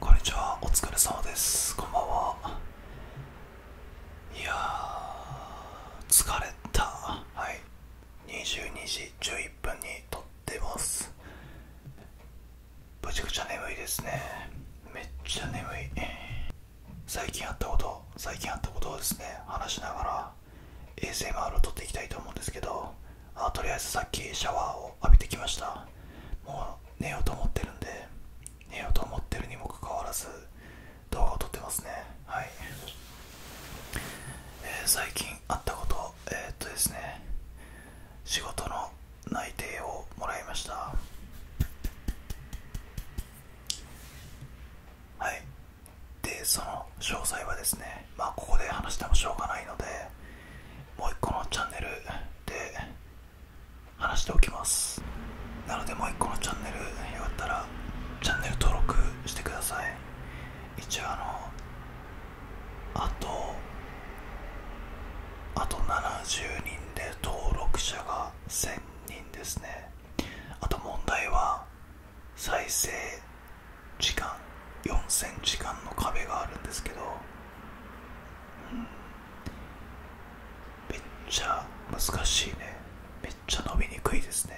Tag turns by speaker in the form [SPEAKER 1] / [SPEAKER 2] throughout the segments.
[SPEAKER 1] こんにちはお疲れ様ですこんばんはいや疲れたはい22時11分に撮ってますぶちくちゃ眠いですねめっちゃ眠い最近あったこと最近あったことをですね話しながら衛星回 r を撮っていきたいと思うんですけどあとりあえずさっきシャワーを浴びてきましたもう寝ようと思ってるんで寝ようと思ってるにもかかわらず動画を撮ってますねはい、え最近あったことえっとですね仕事の内定をもらいましたはいでその詳細はですねまあここで話してもしょうがないのでもう一個のチャンネルで話しておきますなのでもう一個のチャンネルよかったらチャンネル登録してください一応あのあとあと70人で登録者が1000人ですねあと問題は再生時間4 0ンチ間の壁があるんですけど、めっちゃ難しいねめっちゃ伸びにくいですね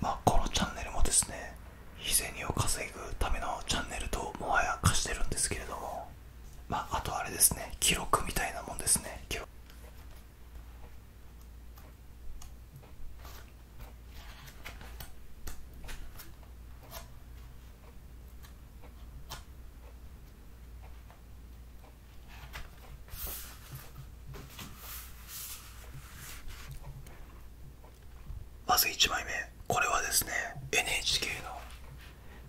[SPEAKER 1] まあこのチャンネルもですね日銭を稼ぐためのチャンネルともはや貸してるんですけれどもまああとあれですね記録みたいなもんですね記録まず1枚目これはですね NHK の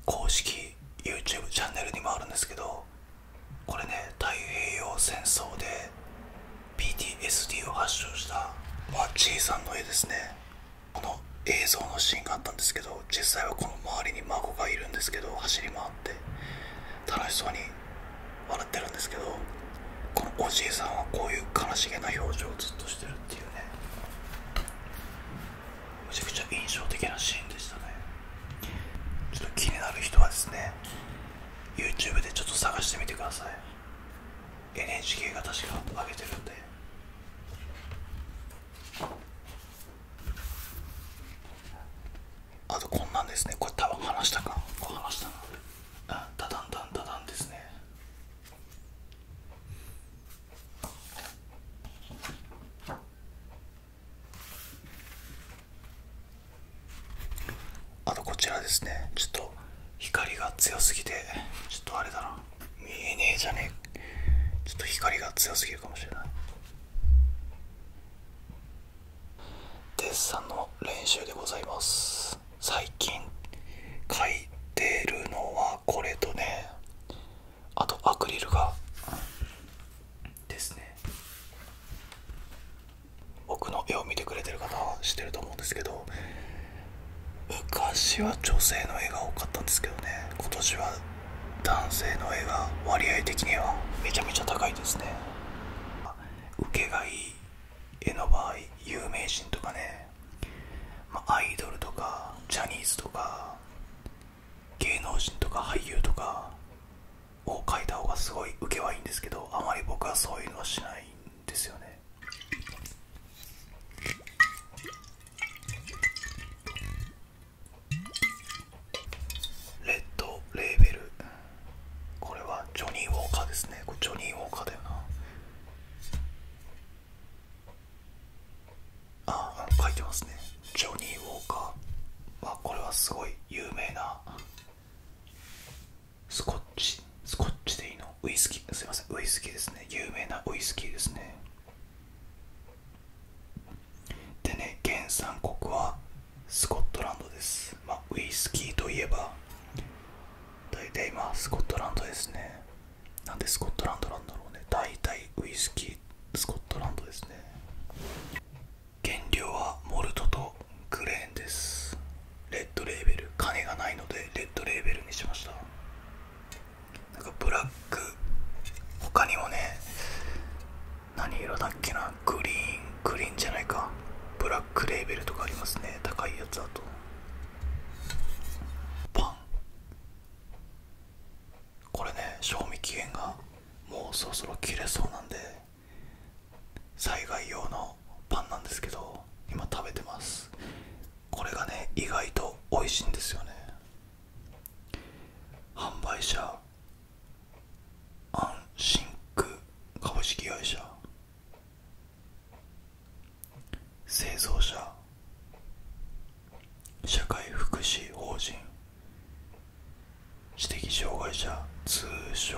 [SPEAKER 1] 公式 YouTube チャンネルにもあるんですけどこれね太平洋戦争で PTSD を発症した、まじいさんの絵ですねこの映像のシーンがあったんですけど実際はこの周りに孫がいるんですけど走り回って楽しそうに笑ってるんですけどこのおじいさんはこういう悲しげな表情をずっとしてるっていうねめちゃくちゃ印象的なシーンでしたねちょっと気になる人はですね YouTube でちょっと探してみてください NHK が確か上げてるんであとこんなんですねこれ多分話したかこれ話したなダダンダンダダンですねあとこちらですねちょっと光が強すぎてちょっとあれだな見えねえじゃねえちょっと光が強すぎるかもしれないデッサンの練習でございます最近書いてるのはこれとねあとアクリルがですね僕の絵を見てくれてる方は知ってると思うんですけど昔は女性の絵が多かったんですけどね今年は男性の絵が割合的にはめちゃめちゃ高いですね受けがいい絵の場合有名人とかね、まアイドルとかジャニーズとか芸能人とか俳優とかを書いた方がすごい受けはいいんですけどあまり僕はそういうのはしないんですよねレッドレーベルこれはジョニー・ウォーカーですねこれジョニー・ウォーカーだよなああ書いてますねジョニー・ウォーカー、まこれはすごい有名なスコッチスコッチでいいのウイスキーすいませんウイスキーですね有名なウイスキーですねでね原産国はスコットランドです、まあ、ウイスキーといえば大体今スコットランドですねなんでスコットランドなんだろうね大体ウイスキースコットランドですね原料はモルトとグレーンですレッドレーベル金がないのでレッドレーベルにしましたなんかブラック他にもね何色だっけなグリーングリーンじゃないかブラックレーベルとかありますね高いやつだとパンこれね賞味期限がもうそろそろ切れそうなんで災害用のパンなんですけど今食べてますこれがね意外と美味しいんですよね販売者アンシンク株式会社製造者社会福祉法人知的障害者通称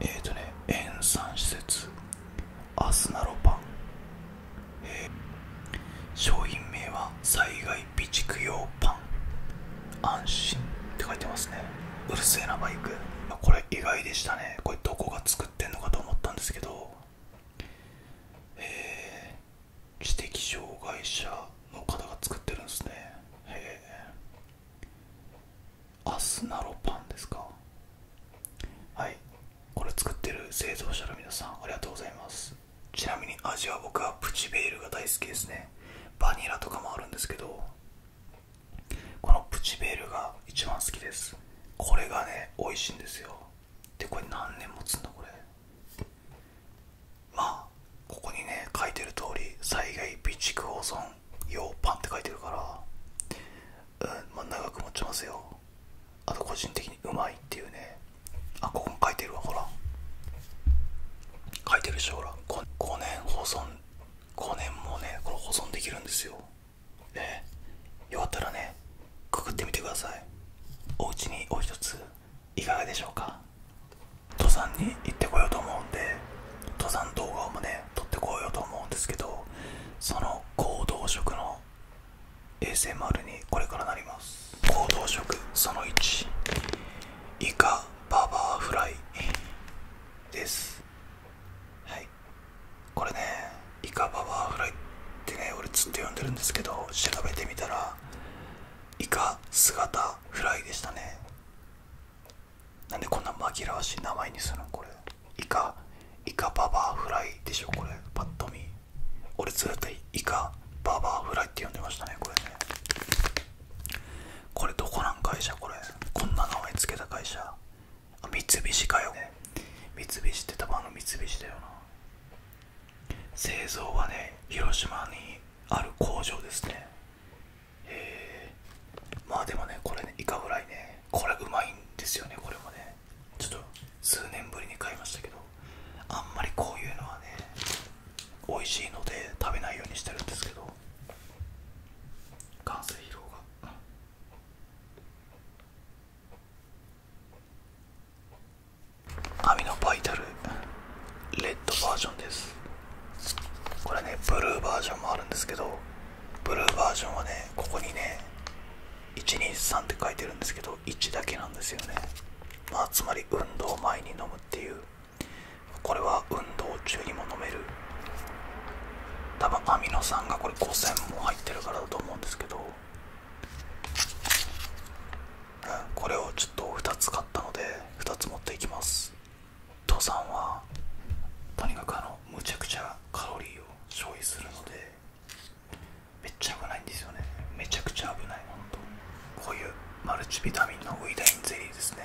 [SPEAKER 1] えっ、とね塩酸施設アスナロパン、商品名は災害備蓄用パン安心って書いてますねうるせえなバイクこれ意外でしたねこれどこが作ってんのかと思ったんですけど知的障害者の方が作ってるんですねへえアスナロパンですかはいこれ作ってる製造者の皆さんありがとうございますちなみに味は僕はプチベールが大好きですねバニラとかもあるんですけどこのプチベールが一番好きですこれがね美味しいんですよでこれ何年もつんだこれまここにね書いてる通り災害備蓄保存用パンって書いてるから、うんまあ、長く持ちますよあと個人的にうまいっていうねあここも書いてるわほら書いてるでしょ？ほら 5, 年保存5年もねこれ保存できるんですよええ、よかったらねくぐってみてくださいお家にお一ついかがでしょうか登山に行ってこようと思うんで登山動画をもね撮ってこようと思うんですけどその行動食の ASMR にこれからなります行動食その1イカババアフライですはいこれねイカババアフライってね俺ずっと呼んでるんですけど調べてみたらイカ姿フライでしたねなんでこんな紛らわしい名前にするのこれイカイカババアフライでしょこれパッと見俺ずっとイカババアフライって呼んでましたねこれねこれどこなん会社これこんな名前付けた会社あ三菱かよ、三菱ってたまの三菱だよな製造はね広島にある工場ですねへえまあでもねこれねイカフライねこれうまいんですよねこれもねちょっと数年ぶりに買いましたけどあんまりこういうのはね美味しいので食べないようにしてるんですけど完成疲労が網のバイタルレッドバージョンですこれねブルーバージョンもあるんですけどブルーバージョンはねここにね123って書いてるんですけど1だけなんですよねまあつまり運動前に飲むっていうこれは運動中にも飲める多分アミノ酸がこれ5000も入ってるからだと思うんですけどこれをちょっと2つ買ったので2つ持っていきます父さんはとにかくあのむちゃくちゃカロリーを消費するのでめっちゃ危ないんですよねめちゃくちゃ危ないほんとこういうマルチビタミンのウイダインゼリーですね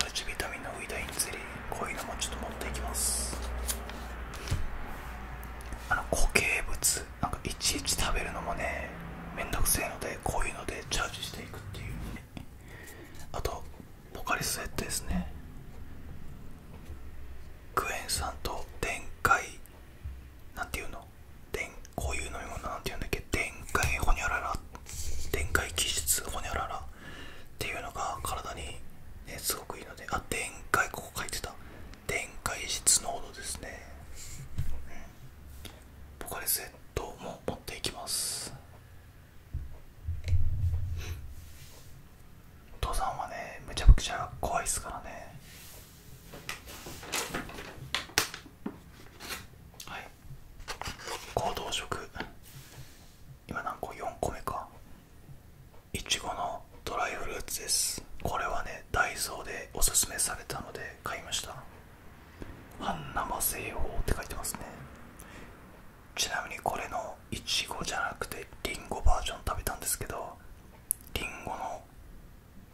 [SPEAKER 1] マルチビタミンのウイダインゼリーこういうのもちょっと持っていきます固形物なんかいちいち食べるのもねめんどくせえのでこういうのでチャージしていくっていうね。あとポカリスエットですねクエン酸と電解なんていうの電こういう飲み物なんていうんだっけ電解ホニャララ電解気質ホニャララっていうのが体に、ね、すごくいいのであ電解ここ書いてた展開室ノーですね、ポカリスエットも持っていきますお父さんはねむちゃくちゃ怖いですからねはい行動食今何個4個目かいちごのドライフルーツですこれはねダイソーでおすすめされたので買いました半生製法って書いてますねちなみにこれのいちごじゃなくてりんごバージョン食べたんですけどりんごの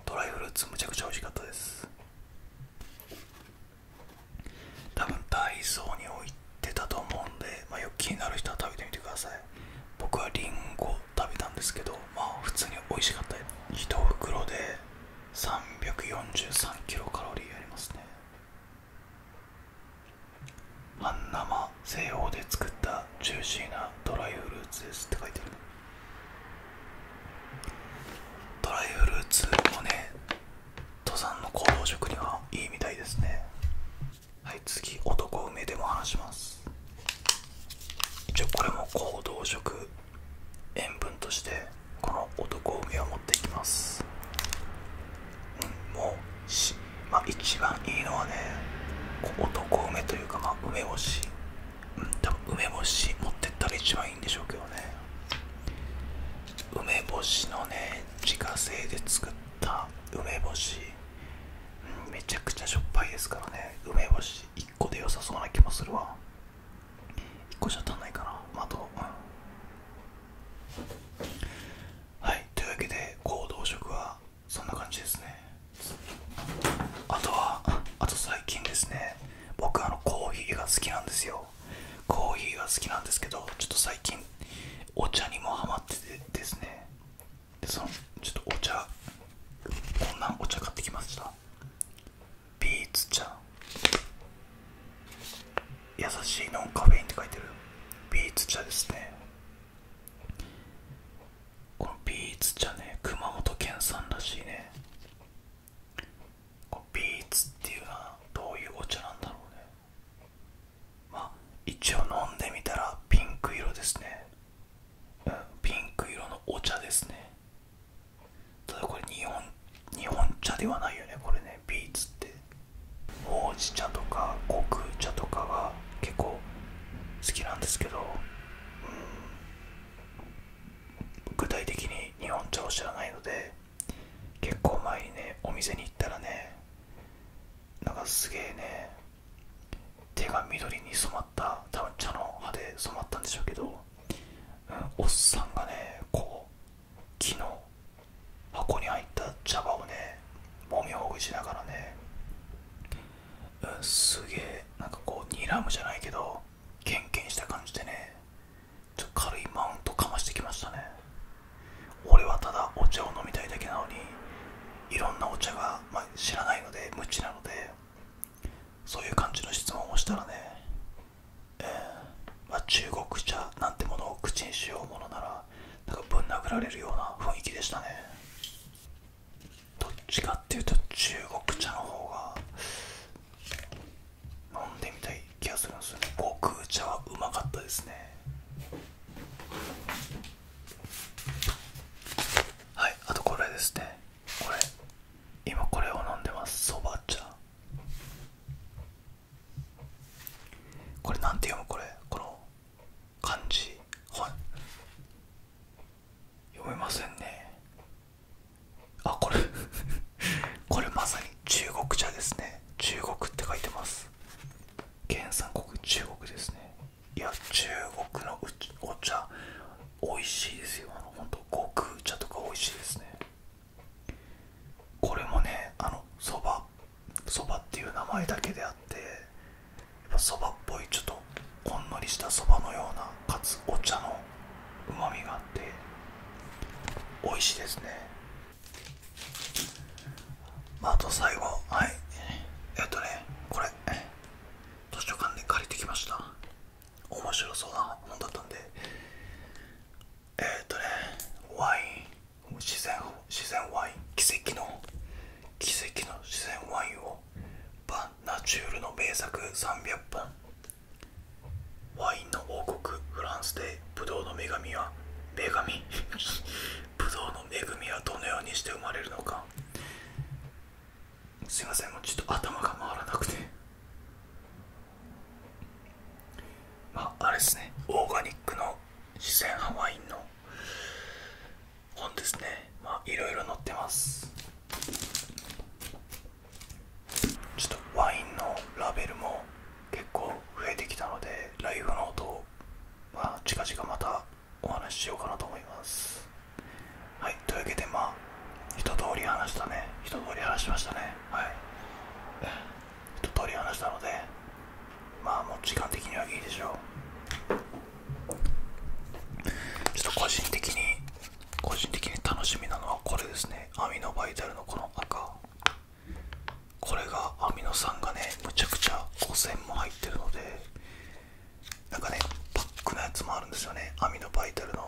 [SPEAKER 1] ドライフルーツめちゃくちゃ美味しかったです多分ダイソーに置いったと思うんで、まよく気になる人は食べてみてください僕はりんご食べたんですけどまあ普通に美味しかった1袋で343キロカロリーありますね半生西法で作ったジューシーなドライフルーツですって書いてるドライフルーツもね登山の行動食にはいいみたいですねはい次男梅でも話します一応これも行動食塩分としてこの男梅を持っていきますうんもうしまあ一番いいのはね男梅というかま梅干しうん多分梅干し持ってったら一番いいんでしょうけどね梅干しのね自家製で作っ梅干し、めちゃくちゃしょっぱいですからね梅干し1個で良さそうな気もするわ1個じゃ足んないかなあと、はいというわけで行動食はそんな感じですねあとはあと最近ですね僕あのコーヒーが好きなんですよコーヒーが好きなんですけどちょっと最近お茶にもハマっててですねでそのちょっとお茶こんなんお茶買ってきましたビーツ茶優しいノンカフェインって書いてるビーツ茶ですねこのビーツ茶ね熊本県産らしいねビーツっていうのはどういうお茶なんだろうねま一応飲んでみたらピンク色ですね、ピンク色のお茶ですねただこれ日本日本茶ではないよねこれねビーツってほうじ茶とかコク茶とかが結構好きなんですけど、うん、具体的に日本茶を知らないので結構前にねお店に行ったらねなんかすげえね手が緑に染まった多分茶の葉で染まったんでしょうけど、おっさんがねこう木の箱に入った茶葉をねもみほぐしながらね、すげえなんかこうニラムじゃないけどケンケンした感じでねちょ軽いマウントかましてきましたね俺はただお茶を飲みたいだけなのにいろんなお茶が、ま知らないので無知なのでそういう感じの質問をしたらね、えーまあ、中国茶なんてものを口にしようものならなんぶん殴られるような雰囲気でしたねどっちかっていうと中国茶の方が飲んでみたい気がするんですよね極茶はうまかったですねはいあとこれですねこれ今これを飲んでますそば茶これなんて読むこれこの漢字はい読めませんねあこれこれまさに中国茶ですね中国って書いてます原産国中国ですねいや中国のお茶美味しいですよあのほんと極茶とか美味しいですねこれもねあのそばそばっていう名前だけであってそばっぽいちょっとほんのりしたそばのようなかつお茶のうまみがあって美味しいですねあ、と最後はいえっとねこれ図書館で借りてきました面白そうな本だったんでえっとねワイン自然自然ワイン奇跡の奇跡の自然ワインをバナチュールの名作300本ワインの王国フランスでブドウの女神は女神 ブドウの恵みはどのようにして生まれるのかすいませんもうちょっと頭が回らなくてまああれですねオーガニックの自然派ワインの本ですねまあいろいろ載ってますちょっとワインのラベルも結構増えてきたのでライブの音を、近々またお話ししようかなと思いますはいというわけでまあ一通り話したね一通り話しましたねはい一通り話したのでまあもう時間的にはいいでしょうちょっと個人的に個人的に楽しみなのはこれですねアミノバイタルのこの赤これがアミノ酸がねむちゃくちゃ汚染も入ってるのでなんかねパックのやつもあるんですよねアミノバイタルの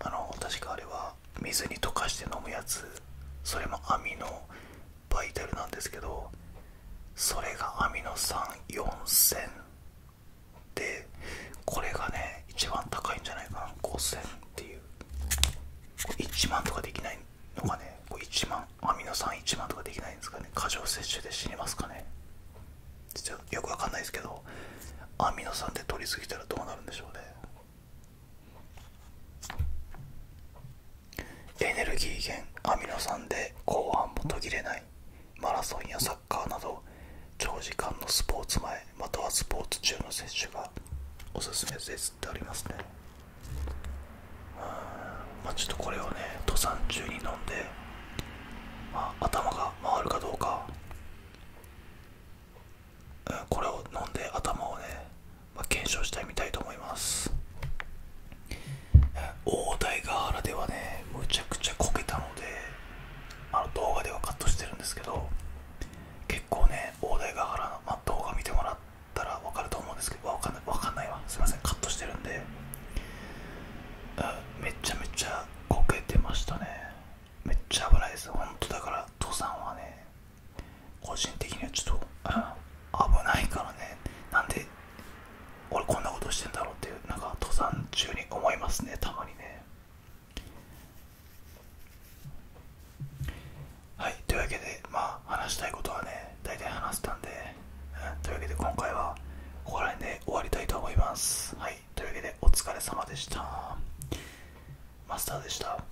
[SPEAKER 1] あの確かあれは水に溶かして飲むやつそれもアミノバイタルなんですけどそれがアミノ酸4000でこれがね一番高いんじゃないかな5000っていう1万とかできないのかね1万アミノ酸1万とかできないんですかね過剰摂取で死にますかねちょよくわかんないですけどアミノ酸って取りすぎたらどうなるんでしょうねエネルギー源アミノ酸で後半も途切れないマラソンやサッカー。サッカーなど長時間のスポーツ前またはスポーツ中の摂取がおすすめですってありますねまちょっとこれをね登山中に飲んで、頭が回るかどうか、うん、これを飲んで頭をね、ま検証してみたいと思います大台ヶ原ではねむちゃくちゃこけたのであの動画ではカットしてるんですけど結構ね大台ヶらの、ま動画見てもらったら分かると思うんですけど分かんない分かんないわすいませんカットしてるんで、うん、めちゃめちゃこけてましたねめっちゃ危ないです本当だから登山はね個人的にはちょっと、危ないからねなんで俺こんなことしてんだろうっていうなんか登山中に思いますねたまにねはいというわけでまあ話したいことはね大体話せたんで、うというわけで今回はここら辺で終わりたいと思いますはいというわけでお疲れ様でしたマスターでした